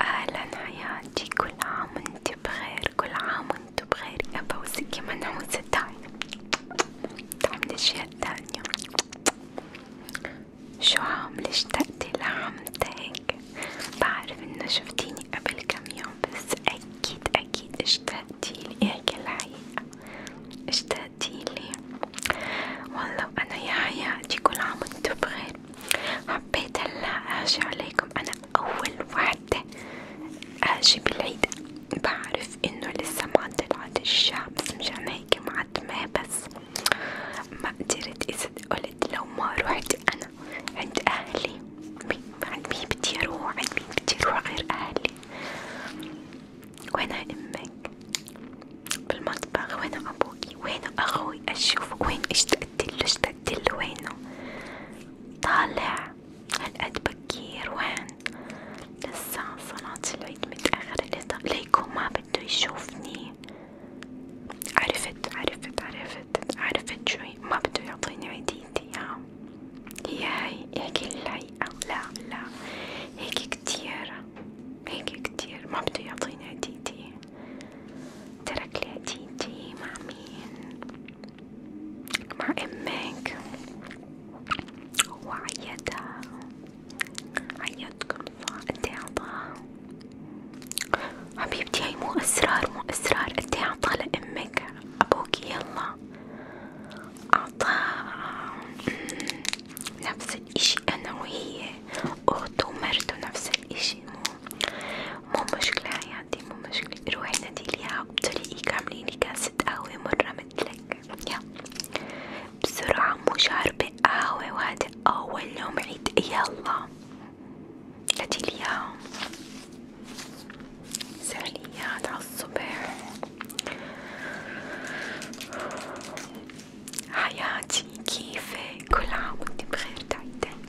أهلا حياتي كل عام وانت بخير كل عام وانت بخير يا بوسكي منحوسة دايما تعمل الأشياء التانية شو عاملة اشتقتي لعمتك بعرف انه شفتيني قبل كم يوم بس أكيد أكيد اشتقتيلي احكي إيه الحقيقة اشتقتيلي والله وأنا يا حياتي كل عام وانتو بخير حابة حبيت هلا اجي عليكم انا اول وحدة اجي بالعيد بعرف انه لسه ما طلعت الشمس مشان هيك معتمة بس ما قدرت اذا قلت لو ما روحت انا عند اهلي عند مين بدي اروح عند مين بدي اروح غير اهلي وين امك بالمنطقة المطبخ وين أبوكي وين أخوي أشوف وين اشتقت له اشتقت له وينه طالع هالقد بكير وين لسه صلاة العيد متأخرة ليكون ما بده يشوفني عرفت عرفت عرفت عرفت شوي ما بده يعطيني عيديتي ها هي هاي هيك الحقيقة لا لا هيك كتير هيك كتير ما بده يعطيني عيديتي ترك لي هديتي مع مين مع امك وعيتها عيتكم صح انتي عطاها حبيبتي هي مو اسرار مو اسرار انتي عطاها لامك ابوكي يلا عطاها نفس الاشي انا وهي اخت ومرته نفس الاشي ماشي مو مو مشكلة حياتي مو مشكلة روحي نديليها بطريقي كامليني كاسة قهوة مرة متلك يا بسرعة مو شاربة قهوة وهذا أول يوم عيد يلا نديليها سهليات عالصبح حياتي كيفك كل عام وانت بخير تعيدين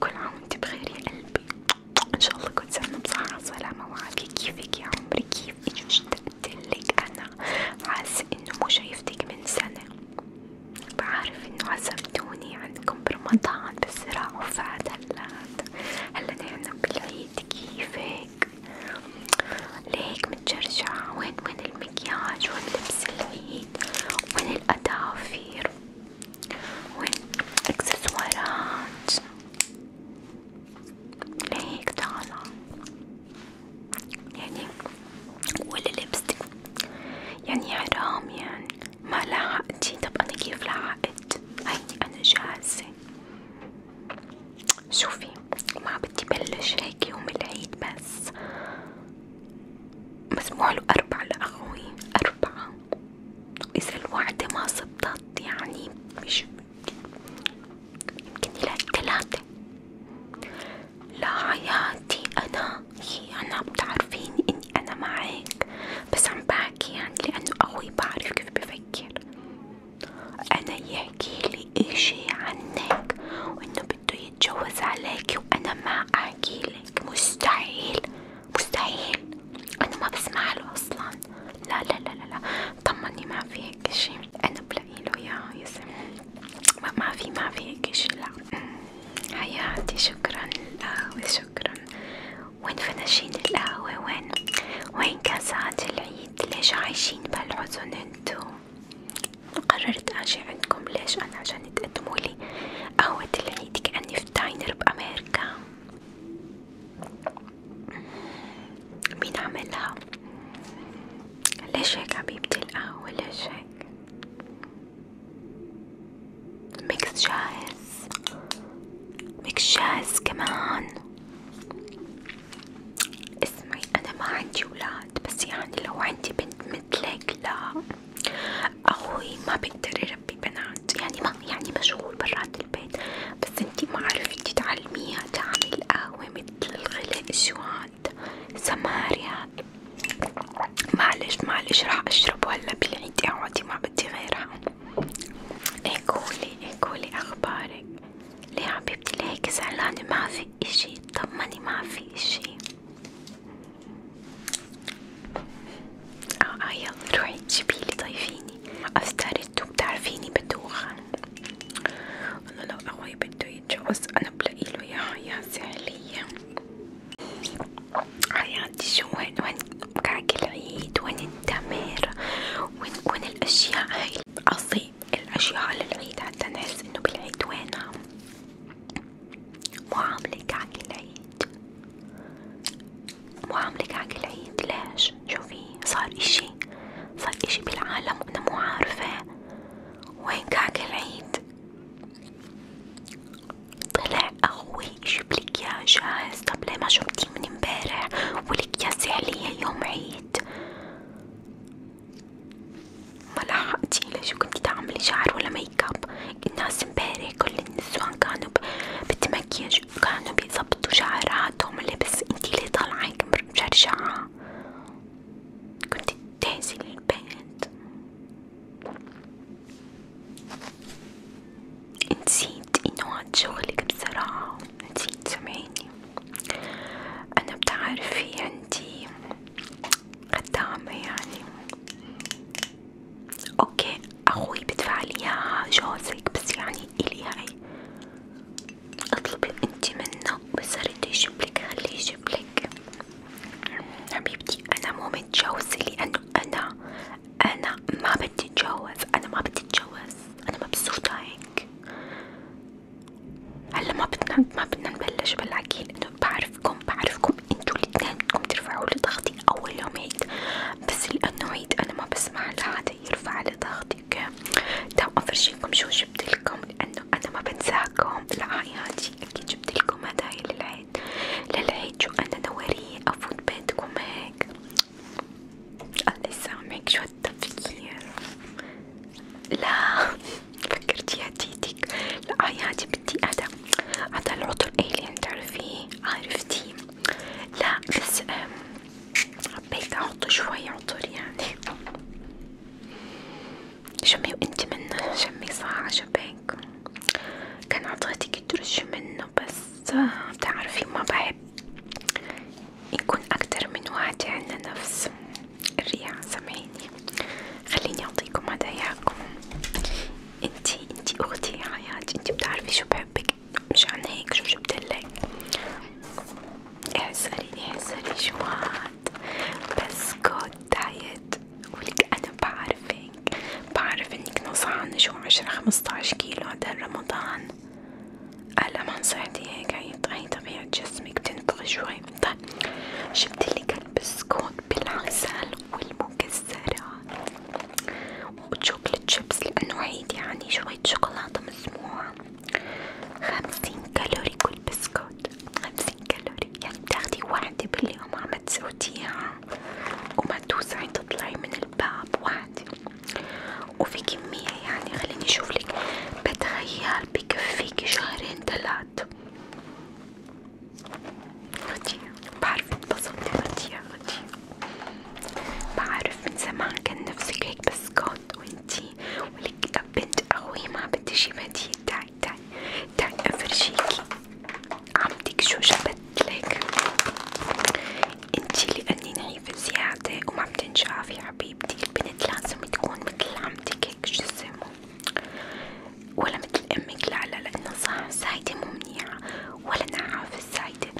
كل عام وانت بخير يا قلبي ان شاء الله كل سنة بصحة وسلامة وعافية كيفك يا عمري كيفك اشتقتلك انا حاسة انه مو شايفتك من سنة بعرف انه عزمتوني عندكم برمضان بس راحوا فات هلا هلا نحن بالعيد كيفك ليك متشرشعة وين وين المكياج واللبس العيد وين الأدافير وين الإكسسوارات لهيك طالعة يعني ولا لبستك يعني حرام يعني ما لحقتي طب أنا كيف لحقت هيني أنا جاهزة شوفي ما بدي بلش هيك يوم العيد بس مسموع له أربع لأخوي أربعة وإذا الوعدة ما صبتت يعني مش يمكن يلاقي تلاتة لا حياتي أنا هي أنا بتعرفيني إني أنا معك بس عم بحكي يعني لأنه أخوي بعرف كيف بفكر أنا يحكيلي إشي عنك وإنه بده اتجوز عليكي وانا ما احكيلك مستحيل مستحيل انا ما بسمع له اصلا لا لا لا لا, لا. طمني ما في هيك شي انا بلاقي له يا يسم ما, ما في ما في هيك شي لا حياتي شكرا للقهوة شكرا وين فناشين القهوة وين وين كاسات العيد ليش عايشين بهالحزن انتو قررت أجي عندكم ليش أنا عشان تقدموا لي قهوة العيد كأني في داينر بأمريكا مين عملها؟ ليش هيك حبيبتي القهوة ليش هيك؟ ميكس جاهز ميكس جاهز كمان اسمعي أنا ما عندي ولاد بس يعني لو عندي بنت مثلك لا أخوي ما بقدر يربي بنات يعني ما يعني مشغول برات البيت بس انتي ما عرفتي تعلميها تعمل قهوة مثل الغلاء شو هاد سماريا معلش معلش راح أشرب هلا بالعيد اقعدي ما بدي غيرها ايه قولي ايه قولي أخبارك ليه حبيبتي ليه هيك زعلانة ما في اشي طمني ما في اشي اه اه يلا روحي جيبيلي ضيفيني افترضتو بتعرفيني بدوخن والله لو اخوي بدو يتجوز انا بلاقيله يا حياة سهلية حياتي شو وين وين كعك العيد وين التمر وين وين الاشياء هاي عظيم الأشياء على العيد حتى نحس إنه بالعيد وينها معاملة كعك العيد معاملة كعك العيد ليش؟ شوفي صار إشي صار إشي بالعالم وأنا مو عارفة وين كعك العيد طلع أخوي يجيب لك إياه جاهز طب ليه ما شربتيه من امبارح والأكياس حلية يوم عيد ما لحقتي لشو كنتي تعملي شعر ولا ميك اب الناس امبارح كل النسوان كانوا بتمكيج وكانوا بيظبطوا شعراتهم لبس انتي ليه طالعة مشرشعة كنتي تهزي للبنت نسيت انه هاد شغلك بصراحة نسيت سامعيني أنا بتعرفي عندي خدامة يعني اوكي اخوي بدفع لي اياها جوزك بس يعني الي هاي اطلبي انتي منه بس رد يجيبلك خليه يجيبلك حبيبتي انا مو متجوزة لانه انا انا ما بدي اتجوز انا ما بدي اتجوز انا مبسوطة هيك هلا ما بدنا ما بدنا نبلش بالعجين انه بعرفكم بعرفكم انتوا الاثنين بدكم ترفعوا لي ضغطي اول يوم عيد بس لانه عيد انا ما بسمع لحدا يرفع لي ضغطي اوكي تو افرجيكم شو جبتلكم لانه انا ما بنساكم لعيادي اكيد جبتلكم هدايا للعيد للعيد شو انا نوريه افوت بيتكم هيك الله يسامحك شو التفكير لا فكرتي هديتك لا يا هادي بدي هذا هذا العطر الين تعرفيه عرفتي لا بس حبيت احط شوي عطر يعني شمي وانت من شمي صاع شباك كان عطيتك ترشي منه بس بتعرفي ما بحب نكون أكتر من وعدي على نفس الرياء سامحيني خليني أعطيكم هداياكم انتي انتي أختي يا حياتي انتي بتعرفي شو بحبك مشان هيك شو جبتلك احسري احسري شو هاد بسكوت دايت ولك أنا بعرفك بعرف انك نصعانة شو عشرة خمسطعش كيلو هدا رمضان ألمان صحتي هيك هي طبيعة جسمك بتنفخ شوي طيب جبتلك لك البسكوت بالعسل والمكسرات وشوكلت شيبس لأنه عيد يعني شوية شوكولاتة مسموعة خمسين كالوري كل بسكوت خمسين كالوري يعني بتاخدي واحدة باليوم عم تسوديها وما توسعي تطلعي من الباب واحدة وفي كمية يعني خليني اشوفلك بتخيل بكفيكي شهرين تلات غدية بعرف اتبسطتي غدية غدية بعرف من زمان كان نفسك هيك بسكوت وانتي ولك بنت اخوي ما بدي شي بديل تعي تعي تعي افرجيكي عمتك شو جبت لك انتي لاني نعيش ضعيف زيادة وما بتنشاف يا حبيبتي البنت لازم تكون مثل عمتك هيك جسمه ولا مثل امك لا لا لانه صح سايدة مو منيعة ولا نعافة السايدة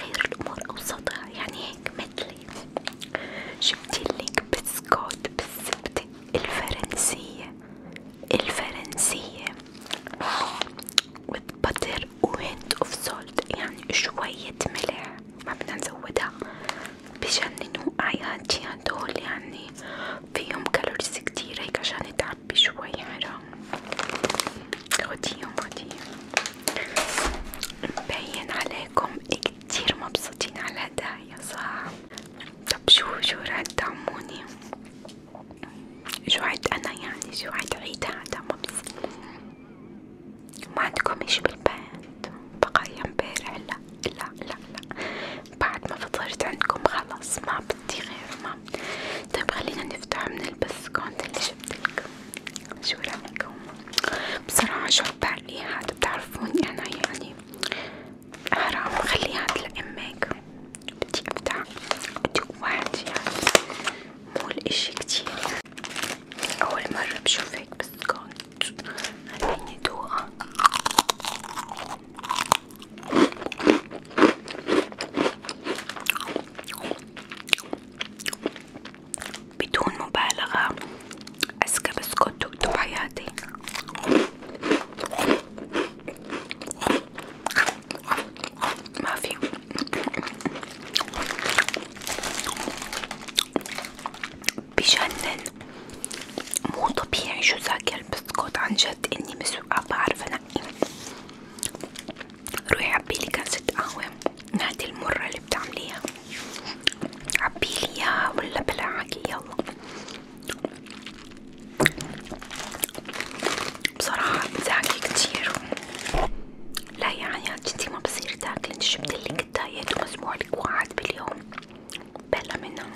خير الامور اوسطها يعني هيك مثلي جبتلك بسكوت بالزبدة الفرنسية الفرنسية with butter و hint of salt يعني شوية ملح ما بدنا نزودها بجننوا أعياد شي هدول يعني فيهم كالوريز كتير هيك عشان تعبي شوي حرام خديهم خديهم مبين عليكم كتير مبسوطين على الهدايا صح؟ طب شو شو رح تعموني؟ جوعت أنا يعني جوعت عيد هذا مبسوط ما عندكم إشي بالبيت بقايا امبارح لا لا لا لا بعد ما فطرت عندكم خلاص ما بدي غير ما طيب خلينا نفتح من البسكوت اللي جبتلكم شو رأيكم بصراحة شرب علي هاد بتعرفوني أنا يعني حرام خلي هاد لأمك بدي أبدع بدي واحد يعني مو الإشي كتير أول مرة بشوفك بالسكوت خليني أدوقه بدون مبالغة أذكى بسكوت دوقته بحياتي ما في بجنن مو طبيعي شو ذاك البسكوت عن جد اني مسوقة بعرف انقي روحي عبيلي كاسة قهوة من هادي المرة اللي بتعمليها عبيلي اياها ولا بلا عكي يلا بصراحة بزعكي كتير لا يا حياتي يعني انتي ما بصير تاكلي انت جبتلك الدايت ومسموعلك واحد باليوم بلا منها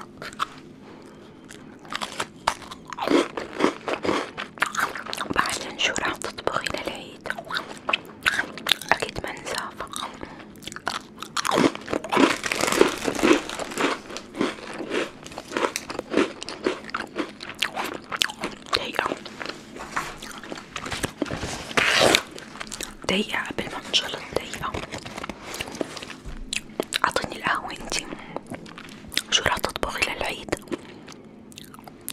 بعدين شو راح تطبخي للعيد اكيد ما نسافة دقيقة دقيقة قبل ما انشلط دقيقة اعطيني القهوة انتي شو راح تطبخي للعيد؟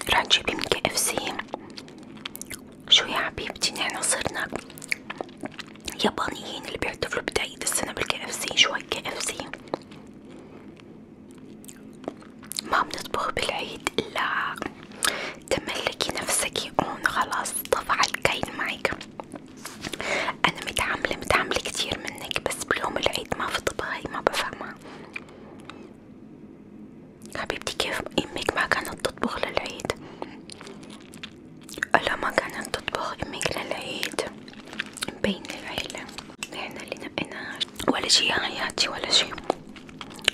راح تجيبي من كي اف سي شو يا حبيبتي نحن صرنا يابانيين اللي بيحتفلوا بداية السنة بالكي اف سي شو هالكي اف سي ما بنطبخ بالعيد إلا تملكي نفسك هون خلاص طفى الكيل معك أنا متعاملة متعاملة كتير منك بس بيوم العيد ما في طبخي ما بفهمها حبيبتي كيف امك ما كانت تطبخ للعيد الا ما كانت تطبخ امك للعيد بين العيلة نحن اللي نبقيناش ولا شي حياتي ولا شي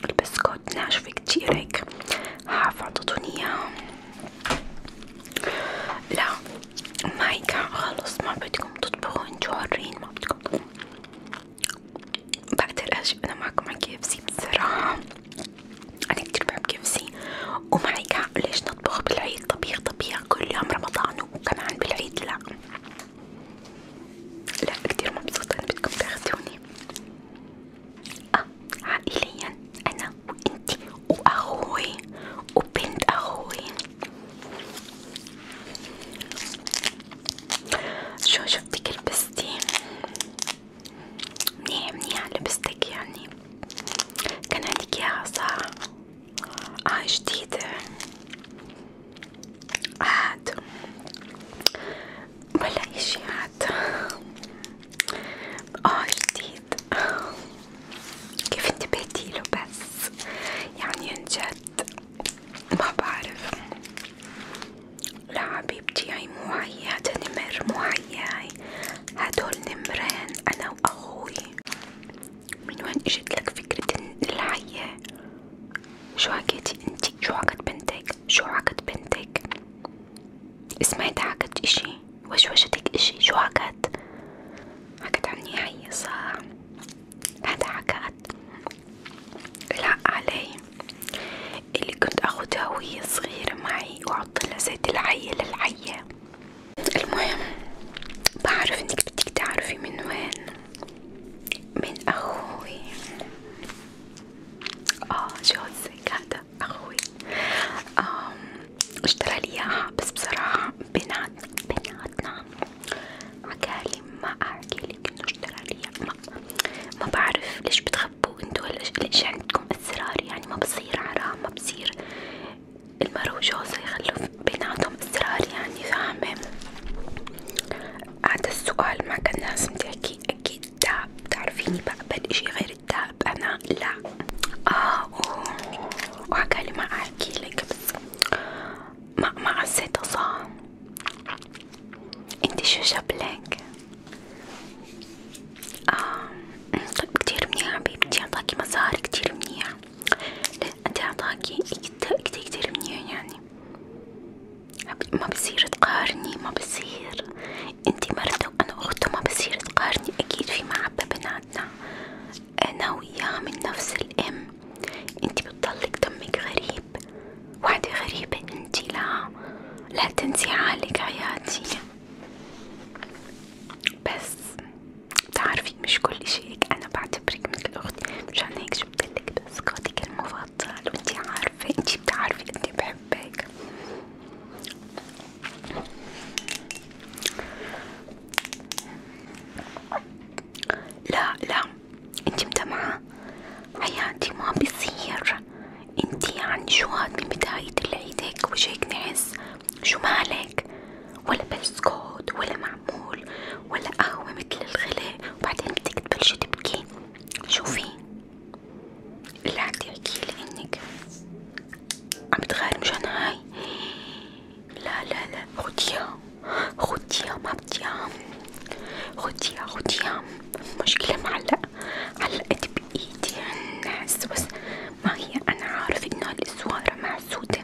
البسكوت ناشفة كتير هيك حاف عطتوني اياها لا ما هيك خلص ما بدكم تطبخوا انتوا حرين ما بدكم بقدر اجيب انا معكم على كي اف سي بصراحة انا كتير بحب كي اف سي وما هيك ليش نطبخ بالعيد طبيخ طبيخ كل يوم رمضان وكمان بالعيد لا لا كتير مبسوطة بدكم تاخدوني اه عائليا انا وانتي واخوي وبنت اخوي شو شفتك لبستي منيح منيح لبستك يعني كان عندك اياها صح اه جديدة عاد ولا اشي عاد اه جديد كيف انتبهتي له بس يعني عن جد ما بعرف لا حبيبتي هاي مو هي هادا نمر مو هي هاي هدول نمرين انا واخوي من وين اجت لك فكرة الحية؟ شو حكيتي انتي شو حكت بنتك شو حكت بنتك سمعت حكت اشي وشوشتك اشي شو حكت حكت عني هي صح هذا حكت لا علي اللي كنت اخدها وهي صغيرة معي واحطلها زيت العية للعية المهم بعرف انك بدك تعرفي من وين من أخوي اه جوزك هذا أخوي اشترى لي اياها بس بصراحة بناتنا بناتنا عقالي ما احكي لك انه اشترى لي ما, ما بعرف ليش بتخبوا انتوا ليش عندكم اسرار يعني ما بصير حرام ما بصير المرة وجوزها يخلوا بيناتهم اسرار يعني فاهمة هذا السؤال ما كان لازم تحكي اكيد الدهب بتعرفيني بقبل اشي غير الدهب انا لا اه وعقالي ما احكي لك بس ما ما حسيتها صح انت شو جابلك اه أمم، طيب كتير منيح حبيبتي اعطاكي مظهر كتير منيح لا انت اعطاكي كتير كتير منيح يعني تقارني ما بصير تقارني ما بصير انتي مرته وانا اخته ما بصير تقارني اكيد في محبة بيناتنا انا وياها من نفس الام انتي بتضلك دمك غريب وحدة غريبة انتي لا لا تنسي حالك حياتي بس بتعرفي تعرفين مش كل شيك انا بعتبرك مثل اختي مشان هيك جبتلك بسكوتك المفضل وانتي عارفة انتي بتعرفي اني بحبك لا لا انتي متمعة حياتي ما بصير انتي يعني عن جواد من بداية العيد هيك وجهك نعس شو مالك ولا بسكوت ولا معمول ولا قهوة مثل الغلاء وبعدين بدك تبلشي تبكي شوفي اللي عم تحكي انك عم تغار مشان هاي لا لا لا خديها خديها ما بديها خديها خديها مشكلة معلقة علقت بإيدي الناس بس ما هي أنا عارفة إنها الإسوارة معسودة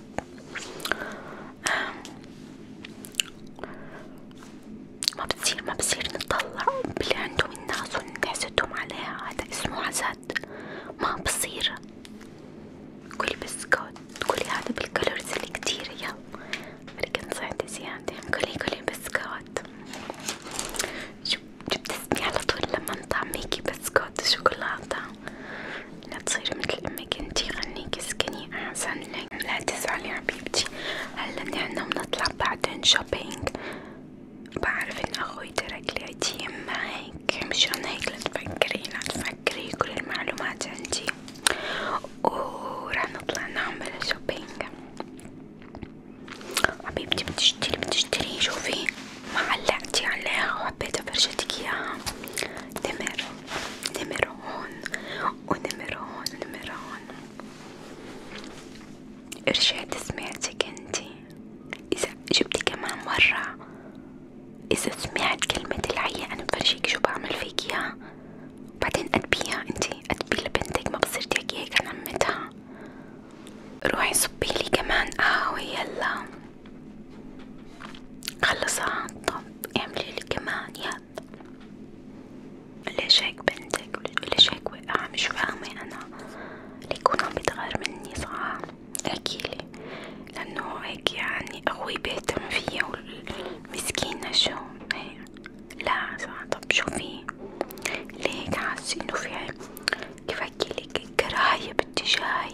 آه، ما بصير ما بصير نطلع باللي عندهم الناس ونحسدهم عليها هذا اسمه حسد ما بصير كلي بسكوت كلي هذا بالكالوريز اللي كتير يا فركن صعدي زيادة كلي كلي بسكوت شو بتسمعي على طول لما نطعميكي بسكوت شوكولاتة لا تصيري مثل امك انتي خليكي اسكني احسن لك لا تزعلي حبيبتي هلا نحنا بنطلع بعدين شوبينج بعرف ان اخوي ترك لي عيديم معك مشان هيك لا تفكري لا تفكري كل المعلومات عندي وراح نطلع نعمل شوبينج حبيبتي بتشتري بتشتري شوفي معلقتي عليها وحبيت افرجتك اياها نمر نمر هون ونمر هون ونمر هون رجعت سمعتك انتي اذا جبتي كمان مرة اذا سمعت كلمة العية انا بفرجيك شو بعمل فيك اياها بعدين ادبيها انتي ادبي لبنتك ما بصير تحكي هيك عن عمتها روحي صبيلي كمان قهوة يلا خلص طب اعملي لي كمان يلا ليش هيك بنتك ليش هيك وقع مش فاهمة أنا ليكون عم بيتغير مني صح احكيلي لأنه هيك يعني أخوي بيهتم فيا والمسكينة شو هي. لا صح طب شو في ليه هيك حاسة إنه في كيف أحكيلك كراهية باتجاهي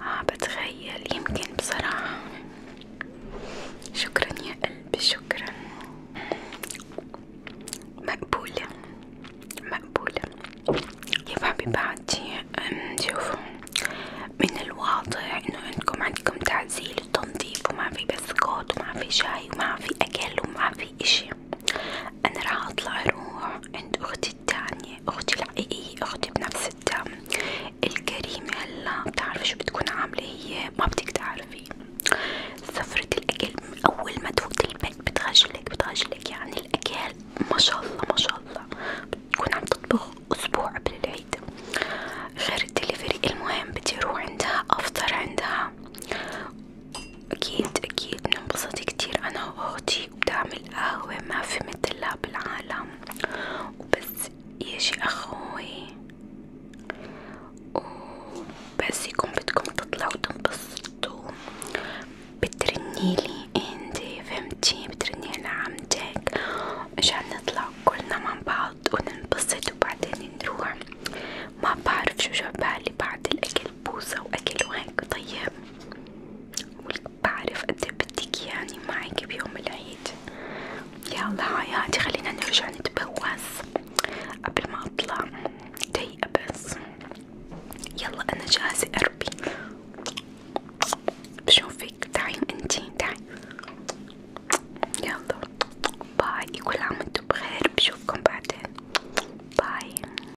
اه بتخيل يمكن بصراحة شكرا يا قلبي شكرا مقبولة مقبولة يا بابي بعدي شوفوا من الواضح انه انكم عندكم تعزيل وتنظيف وما في بسكوت وما في شاي وما في اكل وما في اشي انا راح اطلع اروح عند اختي التانية أختي الحقيقية أختي بنفس الدم الكريمة هلا بتعرفي شو بتكون عاملة هي ما بدك تعرفي سفرة الأكل أول ما تفوت البيت بتغجلك بتغجلك يعني الأكل ما الله ما الله بتكون عم تطبخ أسبوع قبل العيد غير الدليفري المهم بدي أروح عندها أفطر عندها أكيد أكيد بننبسط كتير أنا وأختي وبتعمل قهوة ما في مثلها بالعالم وبس يجي أخوي وبس يكون بدكم تطلعوا تنبسطوا بترنيلي انتي فهمتي بترني أنا عمتك مشان نطلع كلنا مع بعض وننبسط وبعدين نروح ما بعرف شو جاب بالي بعد الأكل بوسة وأكل وهيك طيب بعرف قد ايه بدك يعني معك بيوم العيد يلا حياتي خلينا نرجع نتبوس قبل ما اطلع دقيقة بس يلا انا جاهزة قربي بشوفك تعي انتي تعي يلا باي كل عام وانتم بخير بشوفكم بعدين باي